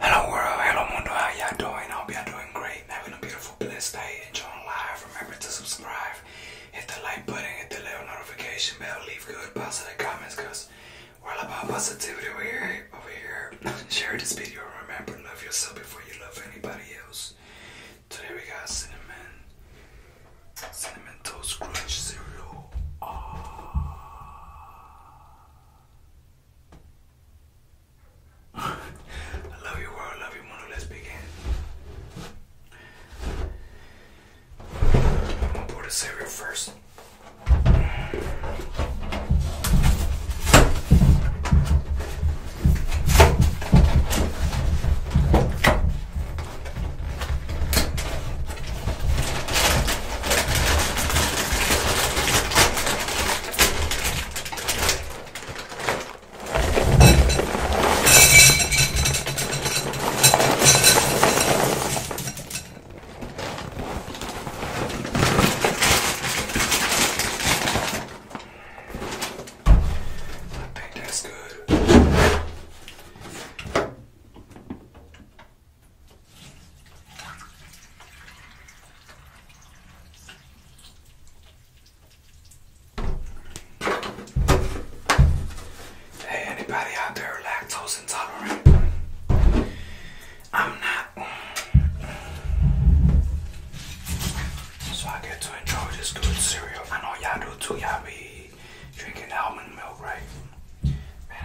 Hello world, hello mundo, how y'all doing? I hope y'all doing great and having a beautiful, blessed day. Enjoying life. Remember to subscribe, hit the like button, hit the little notification bell, leave good positive comments because we're all about positivity over here. Over here. Share this video remember, love yourself before you love anybody else. Today we got cinnamon, cinnamon toast crunch cereal. I love you, world. love you, Mono. Let's begin. I'm gonna put the cereal first. I think that's good. Hey, anybody out there lactose intolerant? I'm not. So I get to enjoy this good cereal. I know y'all do too. Y'all be drinking almond milk, right? Man,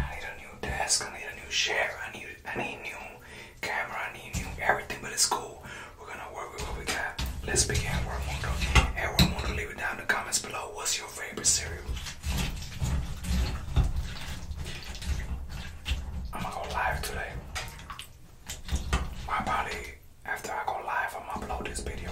I need a desk, I need a new chair, I need I need new camera, I need new everything, but it's cool. We're gonna work with what we got. Let's begin Edward Mundo. Edward Mundo, leave it down in the comments below. What's your favorite cereal? I'm gonna go live today. My body after I go live, I'm gonna upload this video.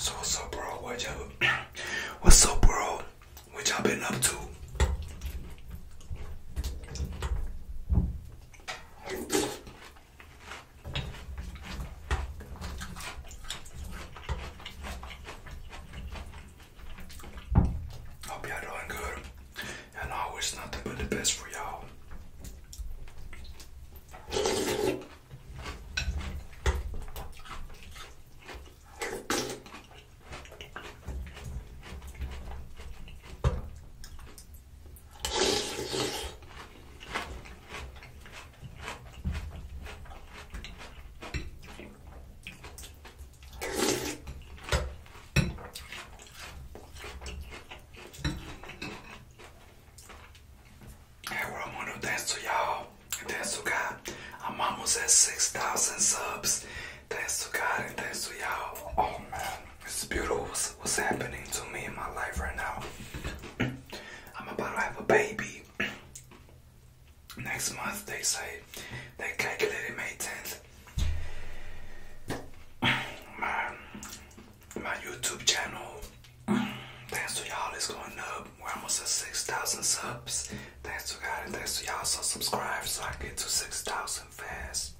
So what's up, bro? What y'all? What's up, bro? What y'all been up to? Hope y'all doing good. And always nothing but the best for y'all. I want to dance to y'all. Thanks to God. I'm almost at 6,000 subs. Thanks to God and thanks to y'all. Oh man, it's beautiful what's happening to me in my life right now. I'm about to have a baby next month they say they calculated May 10th. My my YouTube channel, thanks to y'all, is going up. We're almost at 6,000 subs. Thanks to God and thanks to y'all. So subscribe so I get to 6,000 fast.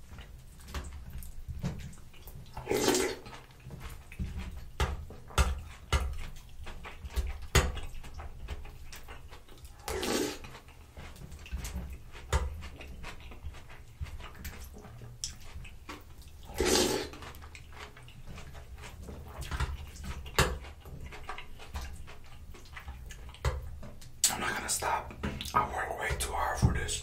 I'm not gonna stop. I work way too hard for this.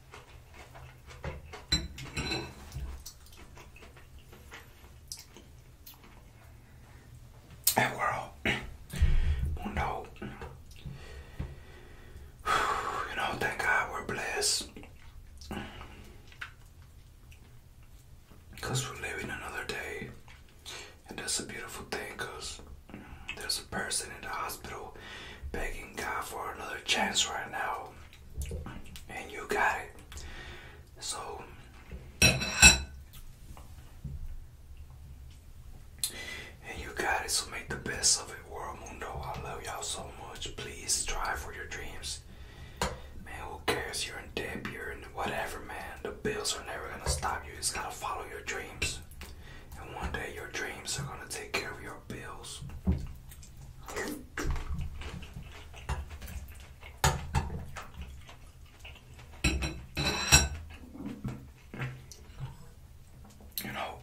And we you know, you know, thank God we're blessed. Because we're living another day. And that's a beautiful thing because there's a person in the hospital begging God for another chance right now and you got it. So and you got it, so make the best of it, world mundo. I love y'all so much. Please strive for your dreams. Man, who cares? You're in debt, you're in whatever, man. The bills are never gonna stop you. You just gotta follow your dreams. And one day your dreams are gonna take care of your bills. You know,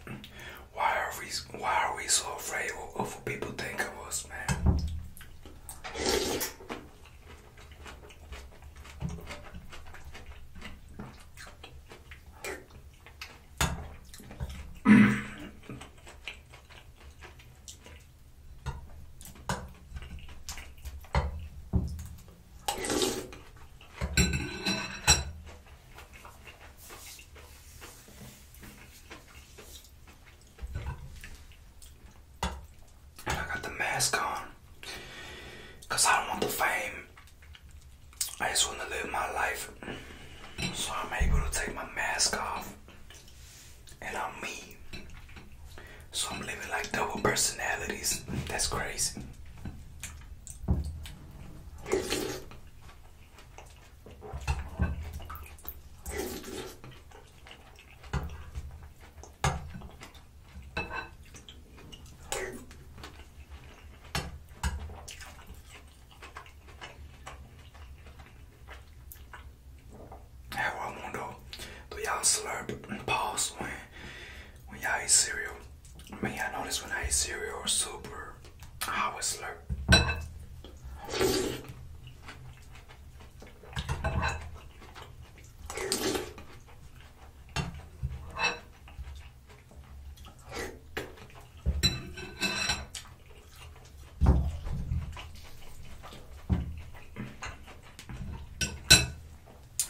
why are we why are we so afraid of what people think of us, man? I got the mask on because I don't want the fame. I just want to live my life. So I'm able to take my mask off. And I'm me. So I'm living like double personalities. That's crazy. How I wonder, do y'all slurp and pause when when y'all eat cereal? I mean, I notice when I eat cereal or soup, I always slurp.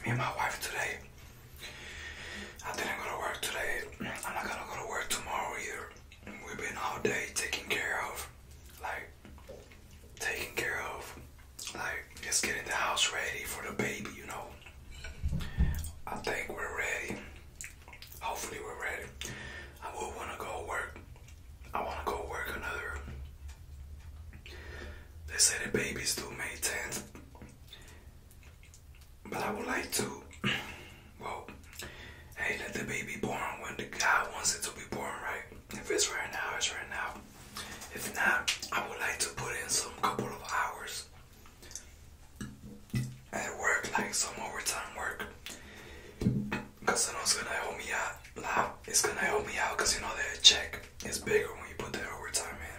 Me and my wife today. I didn't go to work today. I'm not gonna go to work tomorrow either. We've been all day taking care of, like, taking care of, like, just getting the house ready for the baby, you know. I think we're ready hopefully we're ready. I will want to go work. I want to go work another. They say the baby's due May 10th, but I would like to. Well, hey, let the baby born when the God wants it to be born, right? If it's right now, it's right now. If not, I would like to put in some couple of hours I work like some overtime work because I gonna help me out. Nah, it's gonna help me out because you know that check is bigger when you put that overtime in.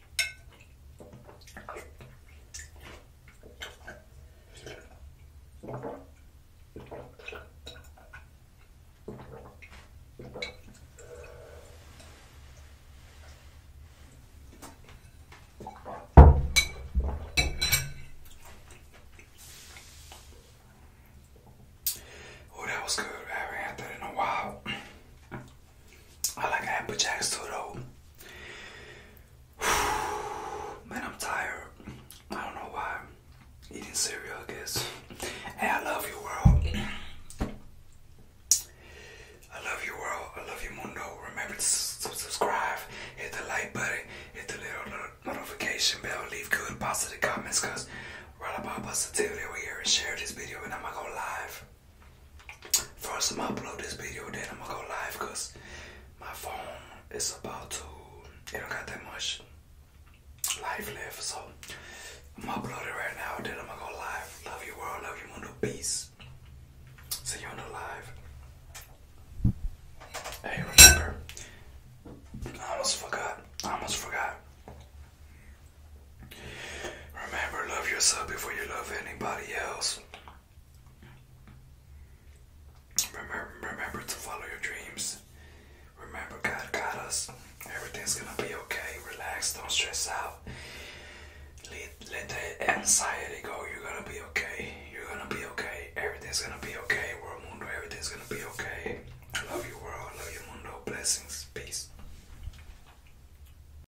Oh, that was good. I haven't had that in a while. I like Apple Jacks too though. Man, I'm tired. I don't know why. Eating cereal, I guess. Hey, I love you, world. I love you, world. I love you, mundo. Remember to subscribe, hit the like button, hit the little notification bell, leave good positive comments, cause we're all about positivity over here and share this video and I'm gonna go live. First, I'm gonna upload this video, then I'm gonna go live because my phone is about to, it don't got that much life left. So, I'm gonna upload it right now, then I'm gonna go live. Love you, world, love you, mundo, peace. See you on the live. Hey, remember, I almost forgot. I almost forgot. Remember, love yourself before you love anybody else. Remember, remember to follow your dreams. Remember, God got us. Everything's gonna be okay. Relax. Don't stress out. Let, let the anxiety go. You're gonna be okay. You're gonna be okay. Everything's gonna be okay. World mundo. Everything's gonna be okay. I love you, world. I love you, mundo. Blessings. Peace.